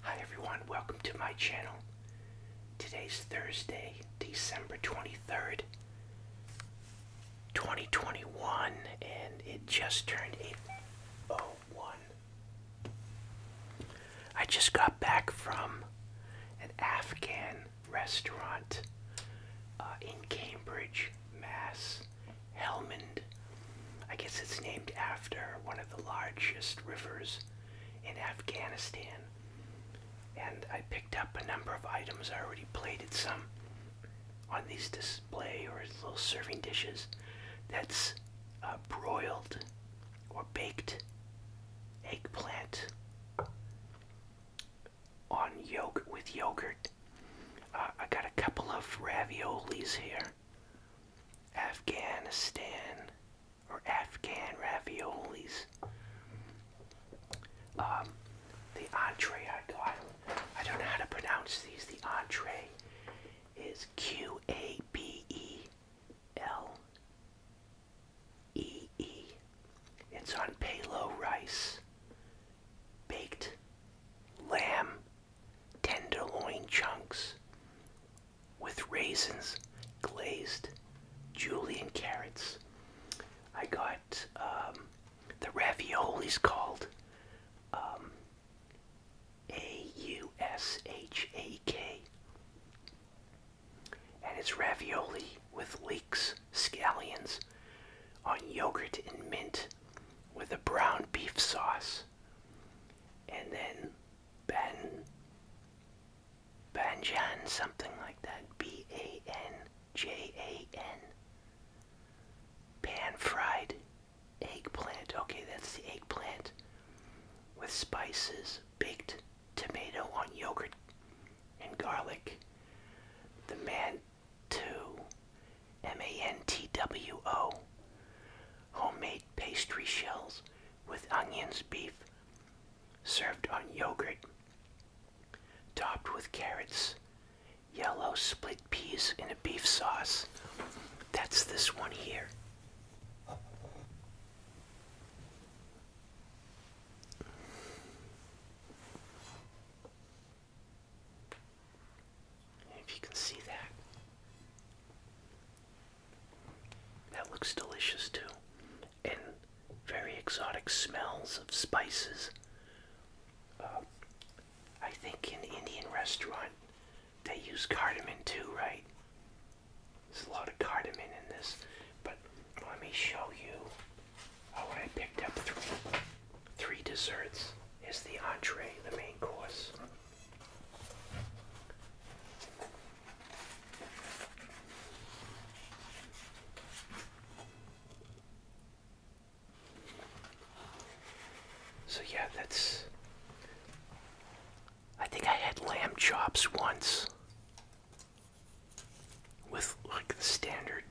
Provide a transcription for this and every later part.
Hi everyone, welcome to my channel. Today's Thursday, December 23rd, 2021, and it just turned 8.01. I just got back from an Afghan restaurant uh, in Cambridge, Mass. Helmand. I guess it's named after one of the largest rivers in Afghanistan. And I picked up a number of items. I already plated some on these display or little serving dishes. That's uh, broiled or baked eggplant on yolk with yogurt. Uh, I got a couple of raviolis here. Afghanistan or Afghan raviolis. Um, the entree I got, I don't know how to pronounce these. The entree is Q A B E L E E. It's on palo rice, baked lamb, tenderloin chunks with raisins, glazed julian carrots. I got um, the ravioli raviolis called um, A-U-S-H-A-K. And it's ravioli with leeks, scallions, on yogurt and mint with a brown beef sauce and then Ben Banjan, something like that. B A N J A N. Pan fried eggplant. Okay, that's the eggplant with spices, baked tomato on yogurt and garlic. The man too M-A-N-T-W-O. Homemade pastry shells with onions, beef, served on yogurt, topped with carrots, yellow split peas in a beef sauce. That's this one here. If you can see that. That looks delicious too. And very exotic smells of spices. Uh, I think in Indian restaurant they use cardamom too, right? There's a lot of cardamom in this, but let me show you how I picked up three, three desserts. Is the entree, the main course. So yeah, that's I think I had lamb chops once with like the standard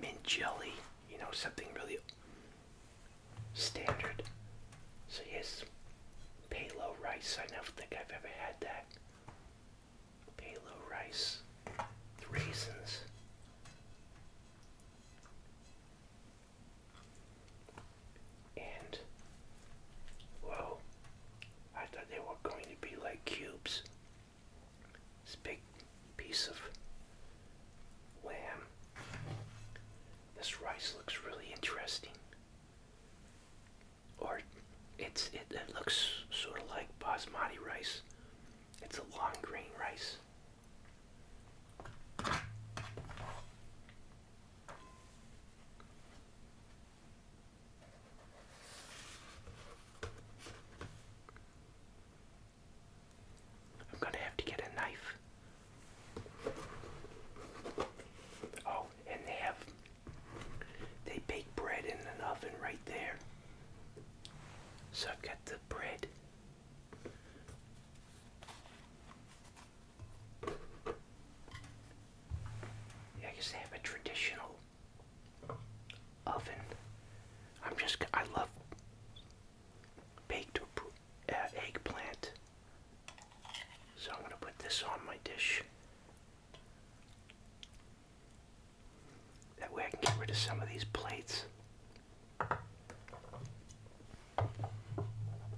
mint jelly, you know, something really standard. So yes, palo rice. I never think I've ever had that. Palo rice, raisins. And well, I thought they were going to be like cubes. This big piece of lamb. This rice looks really interesting. Or it's it, it looks sort of like basmati rice. It's a long grain rice. I'm gonna have to get a knife. Oh, and they have they bake bread in an oven right there. So I've got the bread. Yeah, I guess they have a traditional oven. I'm just I love baked eggplant. So I'm going to put this on my dish. That way I can get rid of some of these plates.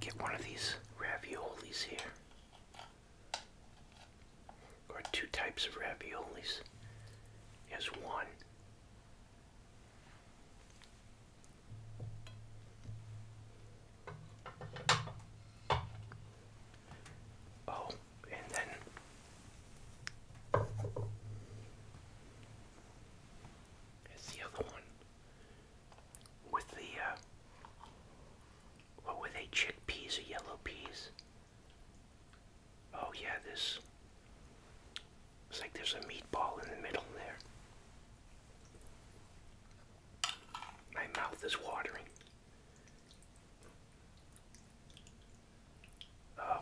Get one of these raviolis here. Or two types of raviolis. Yes, one. Oh, and then it's the other one with the uh, what were they? Chickpeas or yellow peas? Oh yeah, this it's like there's a meatball in the middle there. My mouth is watering. Oh.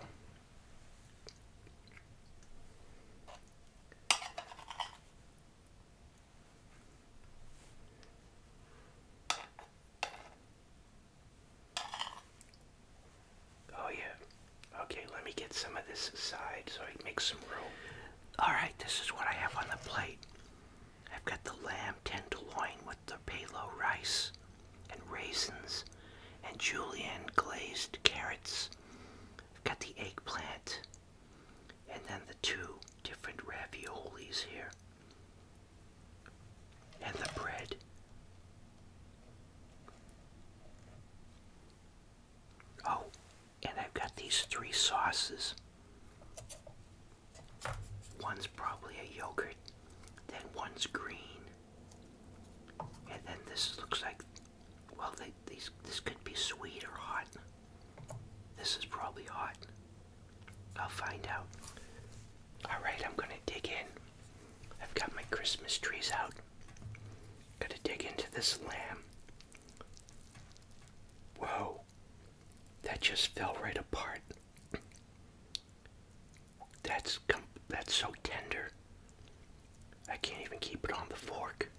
Oh yeah. Okay, let me get some of this aside so I can make some room. Alright, this is what I have on the plate. I've got the lamb tenderloin with the palo rice and raisins and julienne glazed carrots. I've got the eggplant and then the two different raviolis here. And the bread. Oh, and I've got these three sauces. One's probably a yogurt, then one's green, and then this looks like, well, these this could be sweet or hot. This is probably hot. I'll find out. All right, I'm gonna dig in. I've got my Christmas trees out. Gotta dig into this lamb. Whoa, that just fell right apart. That's that's so tender. I can't even keep it on the fork.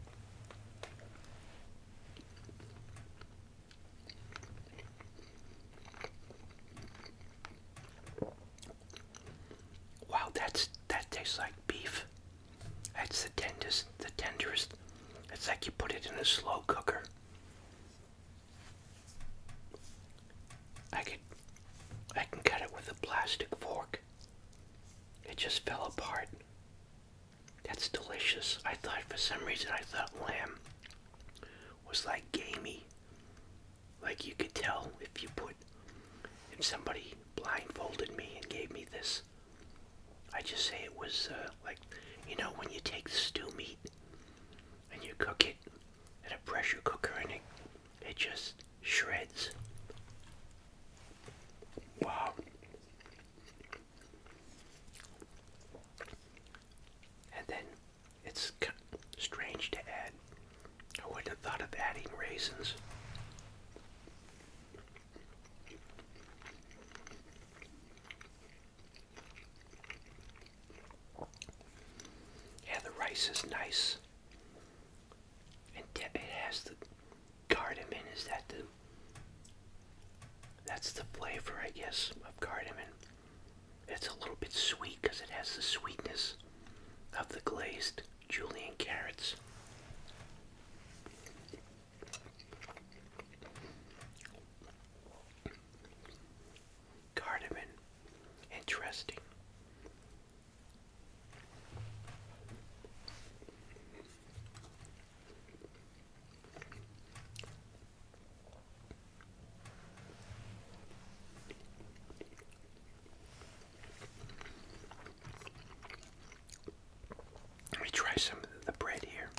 Wow, that's that tastes like beef. That's the tenderest, the tenderest. It's like you put it in a slow cooker. I could I can cut it with a plastic fork. It just fell apart. That's delicious. I thought for some reason I thought lamb was like gamey like you could tell if you put, if somebody blindfolded me and gave me this, I just say it was uh, like, you know, when you take the stew meat and you cook it in a pressure cooker and it, it just shreds. Wow. And then it's strange to add I wouldn't have thought of adding raisins. Yeah, the rice is nice. And it has the cardamom. Is that the. That's the flavor, I guess, of cardamom. It's a little bit sweet because it has the sweetness of the glazed julian carrots. Cardamom, interesting. Let me try some of the bread here.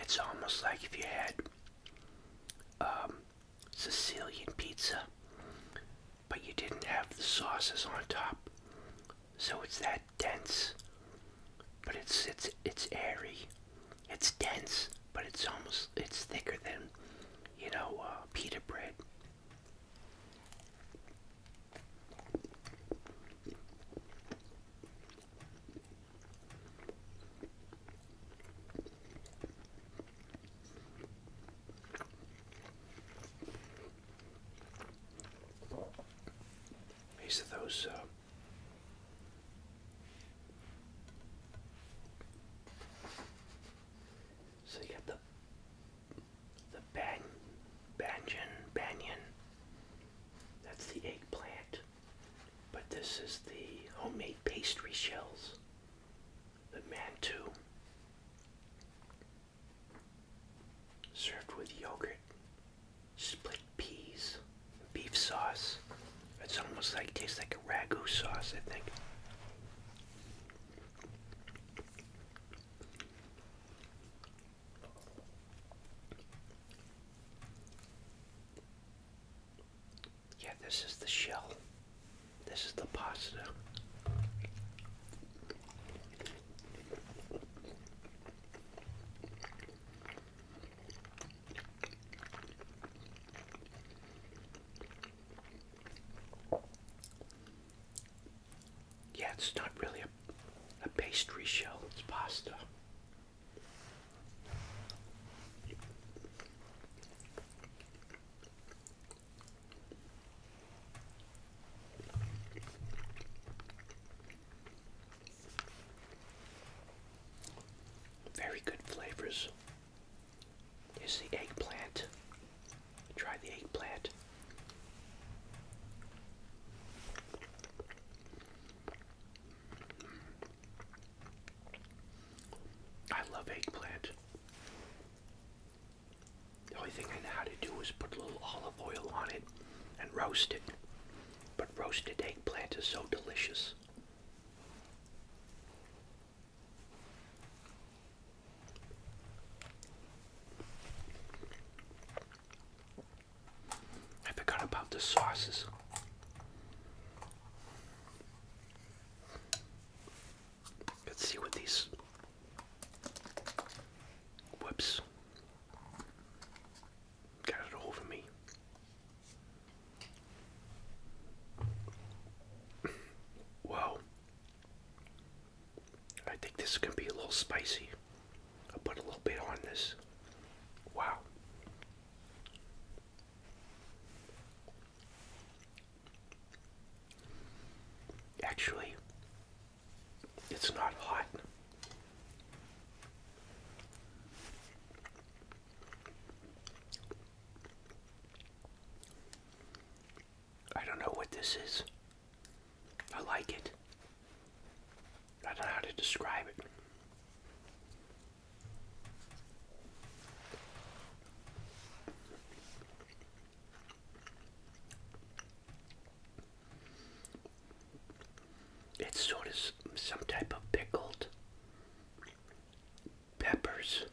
It's almost like if you had um, Sicilian pizza, but you didn't have the sauces on top, so it's that dense. But it's it's it's airy, it's dense, but it's almost it's thicker than you know uh, pita bread. These are those uh, so you got the the ban banyan banyan. That's the eggplant. But this is the homemade pastry shells. The mantou. Served with yogurt, split peas, beef sauce. It's almost like tastes like a ragu sauce, I think. Yeah, this is the shell. This is the pasta. Yeah, it's not really a, a pastry shell, it's pasta. Very good flavors is the eggplant. Try the eggplant. I love eggplant. The only thing I know how to do is put a little olive oil on it and roast it. But roasted eggplant is so delicious. I forgot about the sauces. Let's see what these whoops got it over me. Whoa. I think this is going to be a little spicy. I'll put a little bit on this. Wow. Actually, it's not hot. I don't know what this is. I like it. I don't know how to describe it. It's sort of some type of pickled peppers,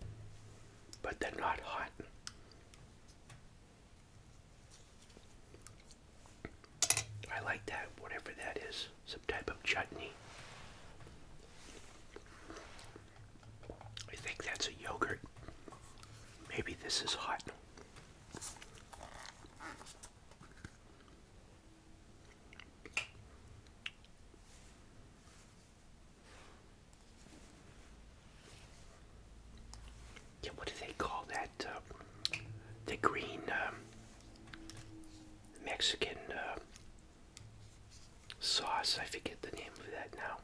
but they're not hot. I like that, whatever that is, some type of chutney. I think that's a yogurt. Maybe this is hot. Yeah, what do they call that? Uh, the green um, Mexican uh, sauce. I forget the name of that now.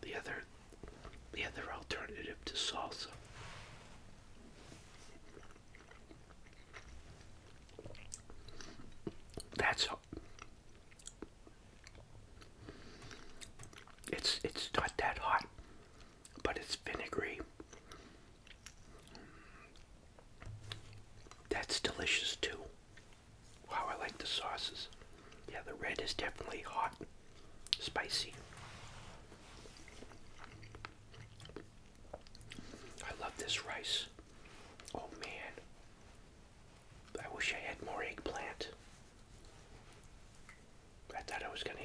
The other, the other alternative to salsa. That's it's it's not that hot, but it's vinegary. That's delicious too. Wow, I like the sauces. Yeah, the red is definitely hot, spicy. I love this rice. Oh man. I wish I had more eggplant. I thought I was gonna,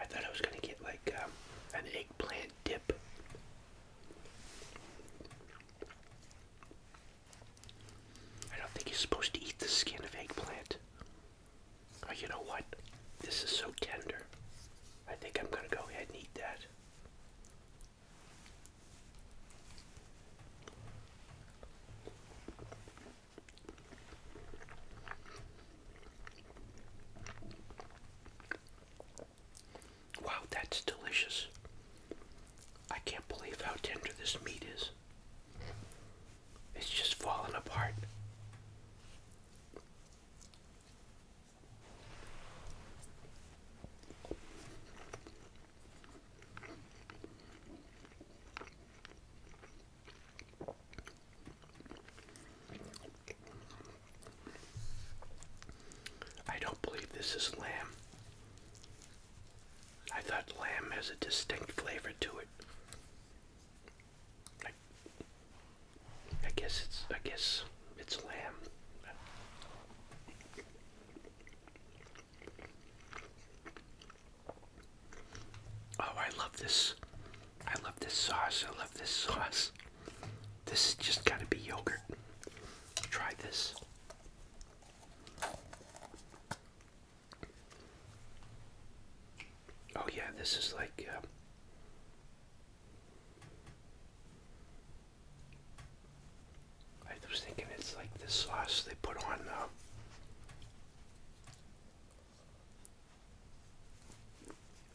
I thought I was gonna get like um, an eggplant dip. I don't think you're supposed to eat the skin of eggplant. Oh, you know what? This is so tender. I think I'm gonna go ahead and eat that. Wow, that's delicious. I can't believe how tender this meat is. It's just falling apart. I don't believe this is lamb. I thought lamb has a distinct flavor to it. I, guess it's I guess it's lamb. Oh, I love this. I love this sauce. I love this sauce. This is just got to be yogurt. Try this. Oh, yeah, this is like. Uh, I was thinking it's like this sauce they put on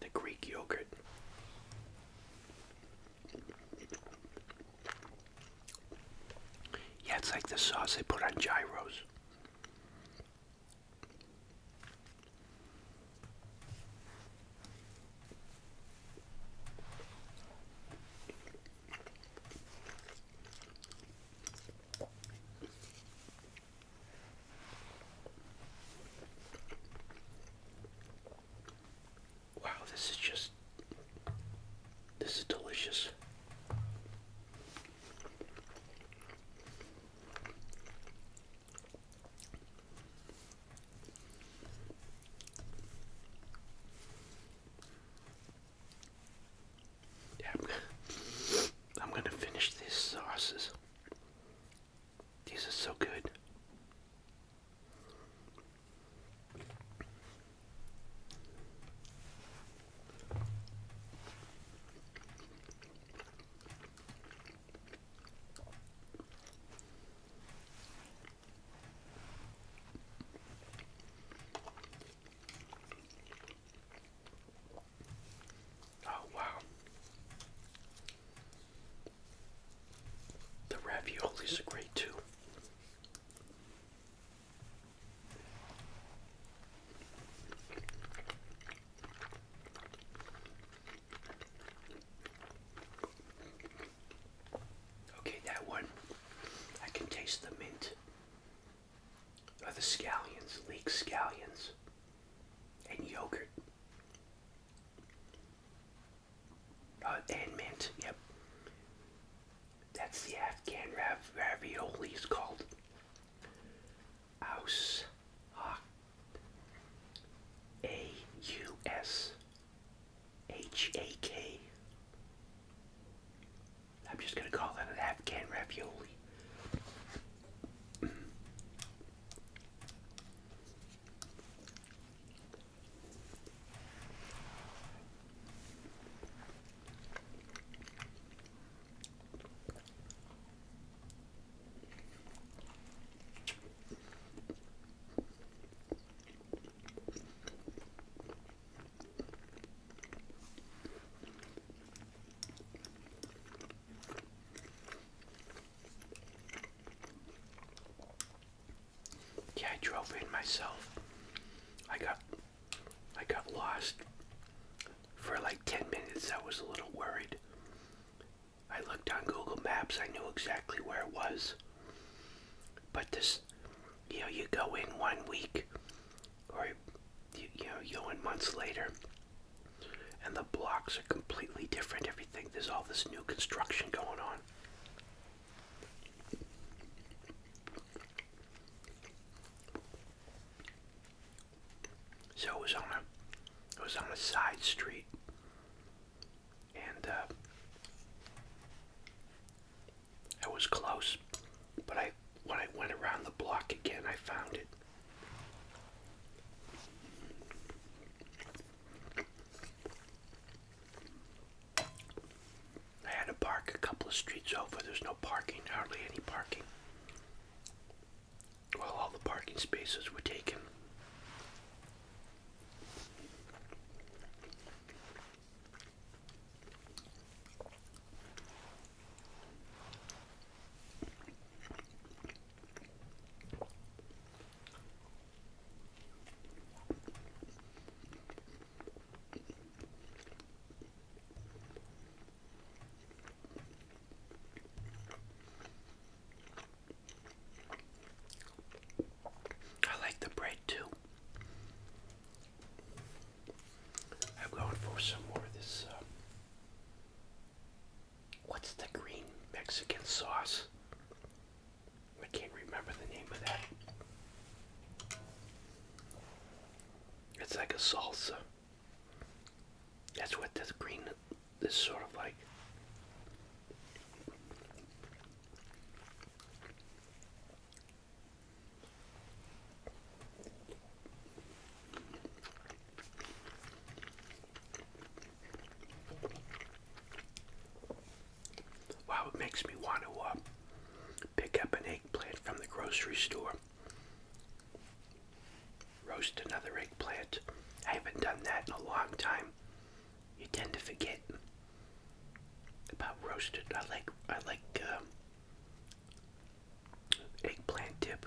the Greek yogurt. Yeah, it's like the sauce they put on gyros. Wow, this is just, this is delicious. I'm gonna, I'm gonna finish these sauces. These are so good. Oh, wow. The raviolis are great too. Okay, that one, I can taste the mint are the scallions, leek scallions, and yogurt. Uh, and mint, yep. That's the Afghan rav ravioli, is called. Aus Hawk. A U S H A K I'm just gonna call that an Afghan ravioli. Yeah, I drove in myself. I got I got lost for like 10 minutes. I was a little worried. I looked on Google Maps. I knew exactly where it was. But this you know you go in one week or you, you know you go in months later and the blocks are completely different everything there's all this new construction going on so it was on a it was on a side street and uh I was close, but I when I went around the block again, I found it. I had to park a couple of streets over. There's no parking, hardly any parking. Well, all the parking spaces were taken. I like the bread too. I'm going for some more of this. Uh, what's the green Mexican sauce? I can't remember the name of that. It's like a salsa. That's what this green is sort of like. Wow, it makes me want to uh, pick up an eggplant from the grocery store. Roast another eggplant. I haven't done that in a long time. You tend to forget about roasted. I like I like um, eggplant dip.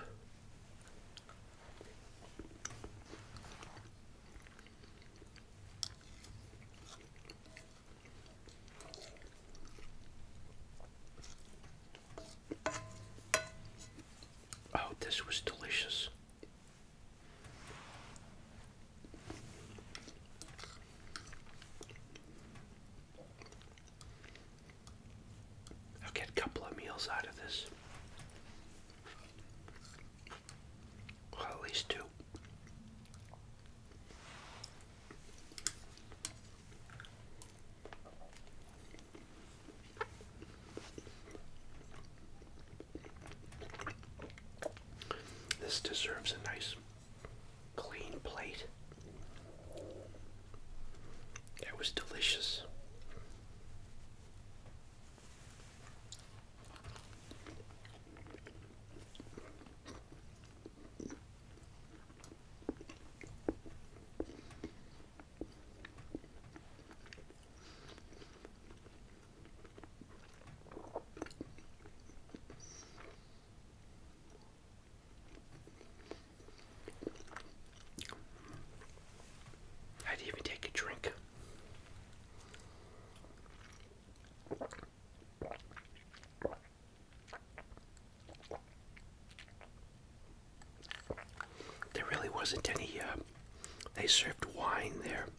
Oh, this was delicious. I'll get a couple of meals out of this. at least two. This deserves a nice clean plate. It was delicious. I didn't even take a drink. There really wasn't any, uh, they served wine there.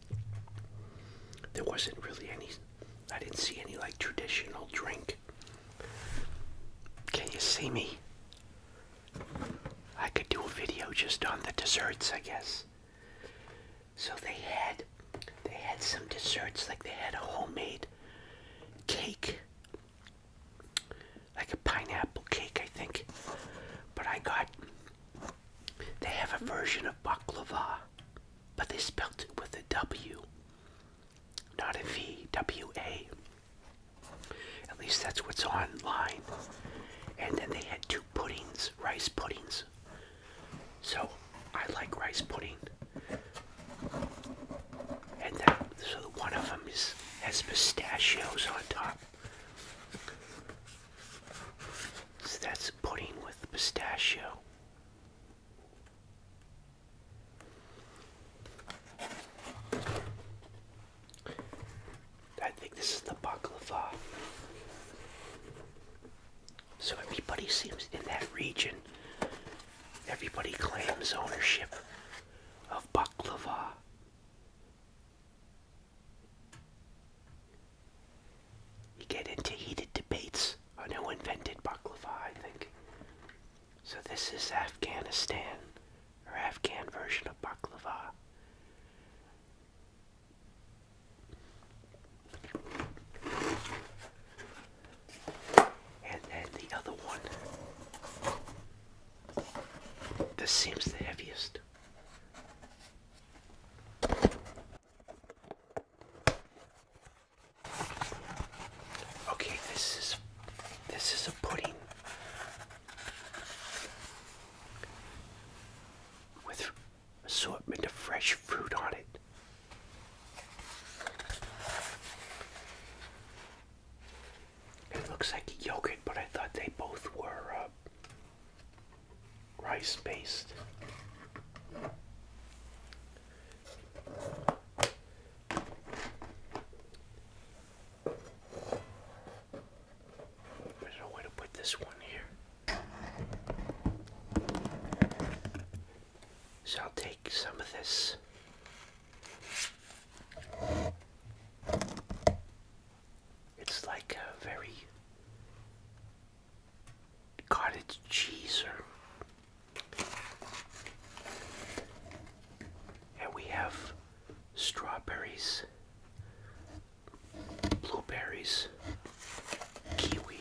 There wasn't really any, I didn't see any like traditional drink. Can you see me? I could do a video just on the desserts, I guess. So they had they had some desserts like they had a homemade cake. Like a pineapple cake, I think. But I got they have a version of baklava but they spelled it with a W, not a V, W A. At least that's what's online. And then they had two puddings, rice puddings. So I like rice pudding. And then, so one of them is has pistachios on top. So that's pudding with pistachio. I think this is the baklava. So everybody seems in that region, everybody claims ownership of baklava. You get into heated debates on who invented baklava, I think. So this is Afghanistan, or Afghan version of baklava. And then the other one. This seems the heaviest. Okay, this is this is a pudding with assortment of fresh fruit on it. It looks like yogurt, but I thought they both were uh, rice paste. I don't know where to put this one here. So I'll take some of this. It's like a very cottage cheese, and we have strawberries, blueberries, kiwi.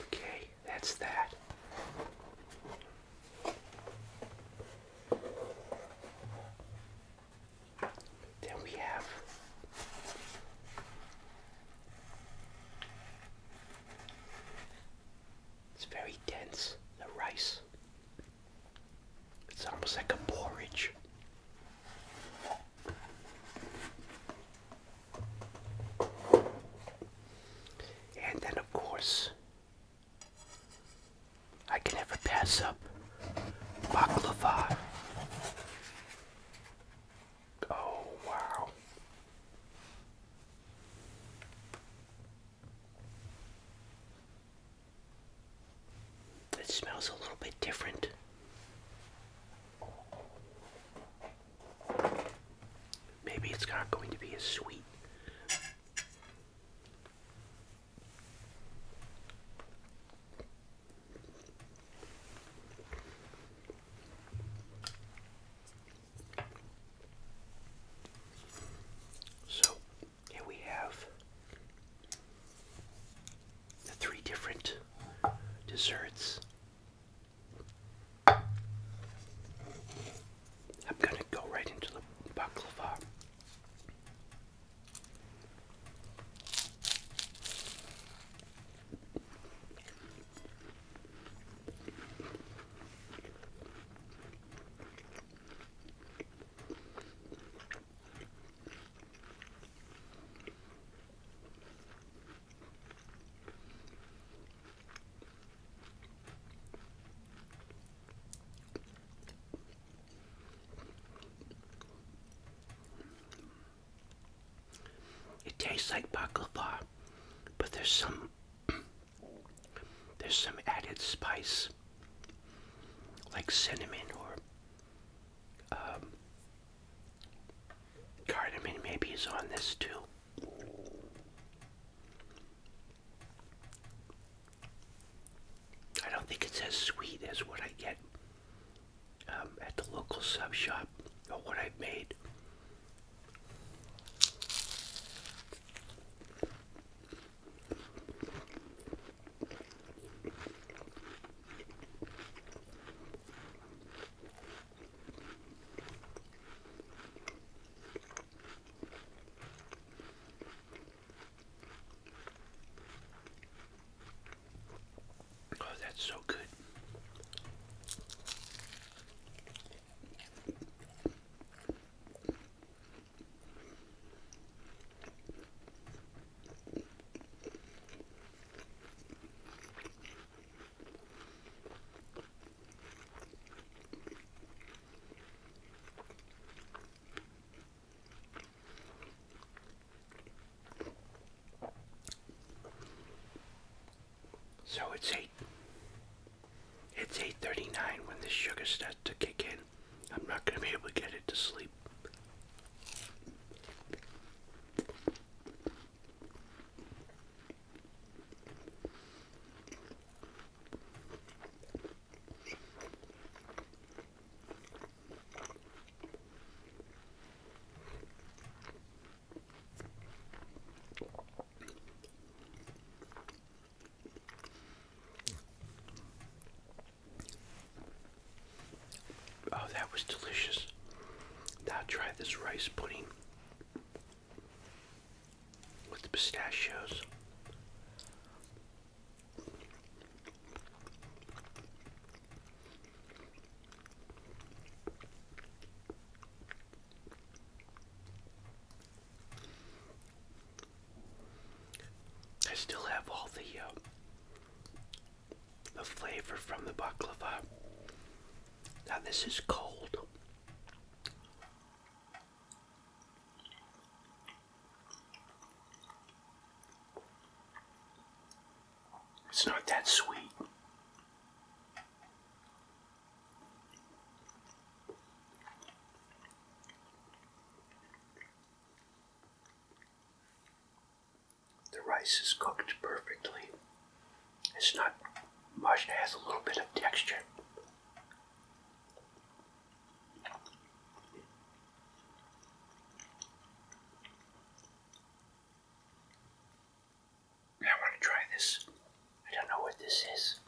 Okay, that's that. Then we have it's very dense, the rice. It's almost like a porridge. And then, of course, I can never pass up baklava. Oh, wow. It smells a little bit different. Maybe it's not going to be as sweet so here we have the three different desserts. I'm going to go right into the baklava. It tastes like baklava, but there's some there's some added spice like cinnamon or um, cardamom maybe is on this too. I don't think it's as sweet as what I get um, at the local sub shop or what I've made. Oh, that's so good. So it's eight. It's 8:39 when the sugar starts to kick in. I'm not going to be able to get it to sleep. Oh, that was delicious. Now try this rice pudding with the pistachios. I still have all the uh, the flavor from the baklava. Now this is cold. It's not that sweet. The rice is cooked perfectly. It's not much, it has a little bit of texture. I want to try this. I don't know what this is.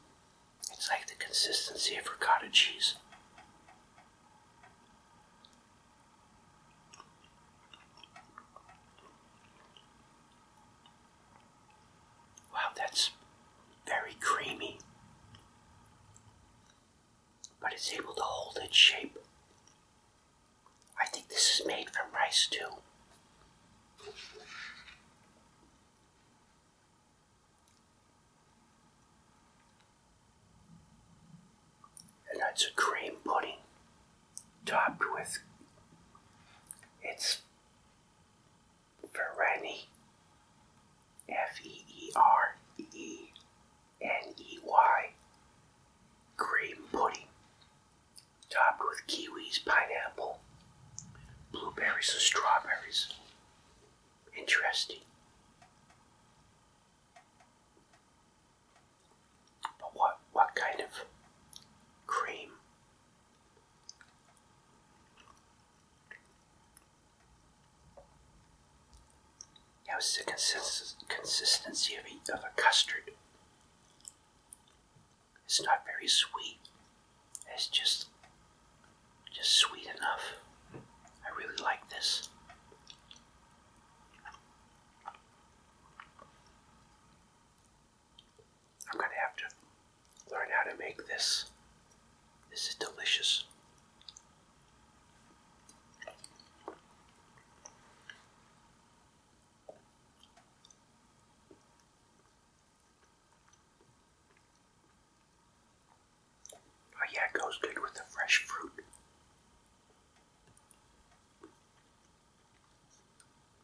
It's like the consistency of ricotta cheese. Wow, that's very creamy. But it's able to hold its shape. I think this is made from rice too. And that's a cream pudding topped with its Fereny, F E E R E N E Y, cream pudding, topped with kiwis, pineapple, blueberries, and strawberries. Interesting. But what what kind of cream now it's the consistency of a, of a custard. It's not very sweet. It's just just sweet enough. I really like this. I'm gonna have to learn how to make this. This is delicious. Oh yeah, it goes good with the fresh fruit.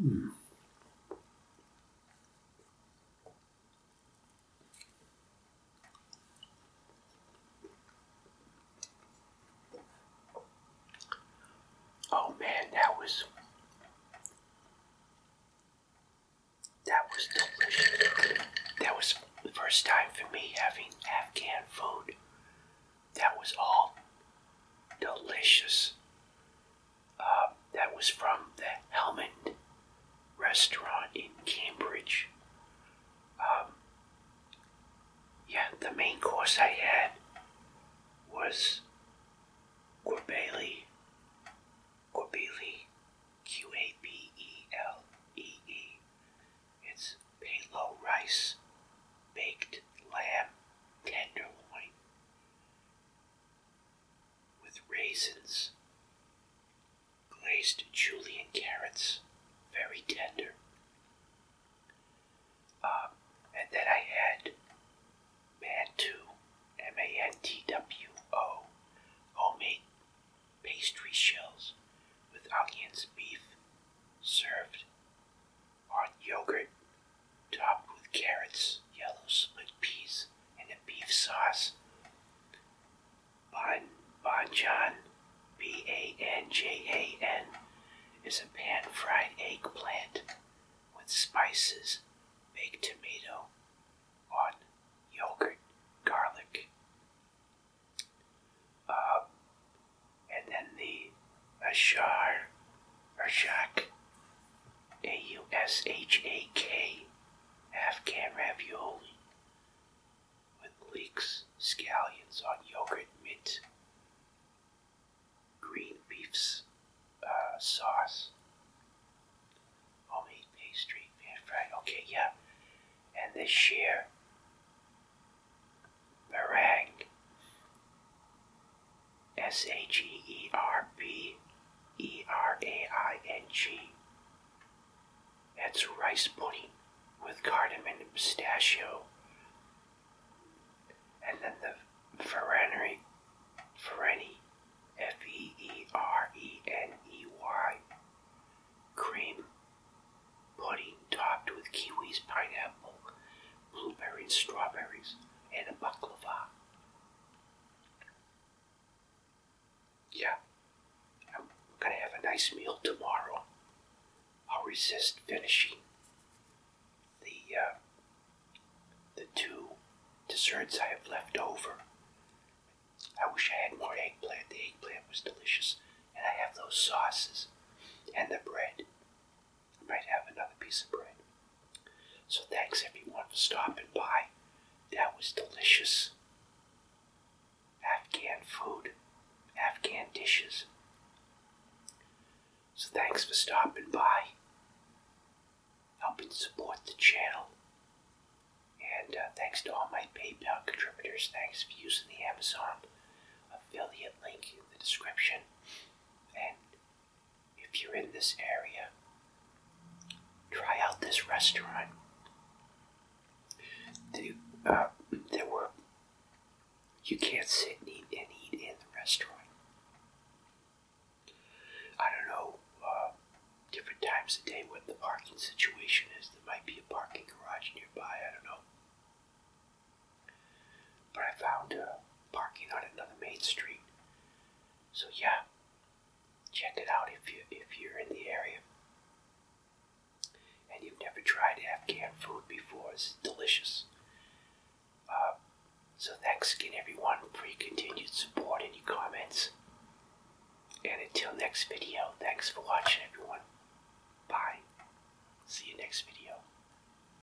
Hmm. Oh man, that was that was delicious. That was the first time for me having Afghan food. That was all delicious. Um, that was from the Helmand restaurant in Cambridge. Um, yeah, the main course I had was Corbelli, Corbelli, Q A B E L E E. It's palo rice, baked lamb tenderloin, with raisins, glazed julian carrots, very tender. Uh, and then I had Mantu, M A N T W O, homemade pastry shells with onions, beef, served on yogurt, topped with carrots, yellow split peas, and a beef sauce. Ban Banjan, B A N J A N, is a pan fried eggplant with spices, baked tomato, on yogurt, garlic. Uh, and then the a shar, or shack, a U S H A K, Afghan ravioli, with leeks, scallions on yogurt, mint, green beefs, uh, sauce, homemade pastry, pan fried. Okay, yeah, and the sheer meringue S H E E R B E R A I N G. That's rice pudding with cardamom and pistachio. And then the Ferrari, Ferreni, F E E R E N E Y, cream pudding topped with kiwis, pineapple, blueberries, strawberries and a baklava. Yeah, I'm gonna have a nice meal tomorrow. I'll resist finishing the uh, the two desserts I have left over. I wish I had more eggplant. The eggplant was delicious, and I have those sauces and the bread. I might have another piece of bread. So thanks everyone for stopping by. That was delicious. Afghan food, Afghan dishes. So thanks for stopping by, helping support the channel. And uh, thanks to all my PayPal contributors. Thanks for using the Amazon affiliate link in the description. And if you're in this area, try out this restaurant. Uh, there were you can't sit and eat, in the restaurant. I don't know uh, different times of day what the parking situation is. There might be a parking garage nearby. I don't know. But I found a parking on another main street. So yeah, check it out if you if you're in the area and you've never tried Afghan food before. It's delicious. Uh, so thanks again, everyone, for your continued support and your comments. And until next video, thanks for watching, everyone. Bye. See you next video.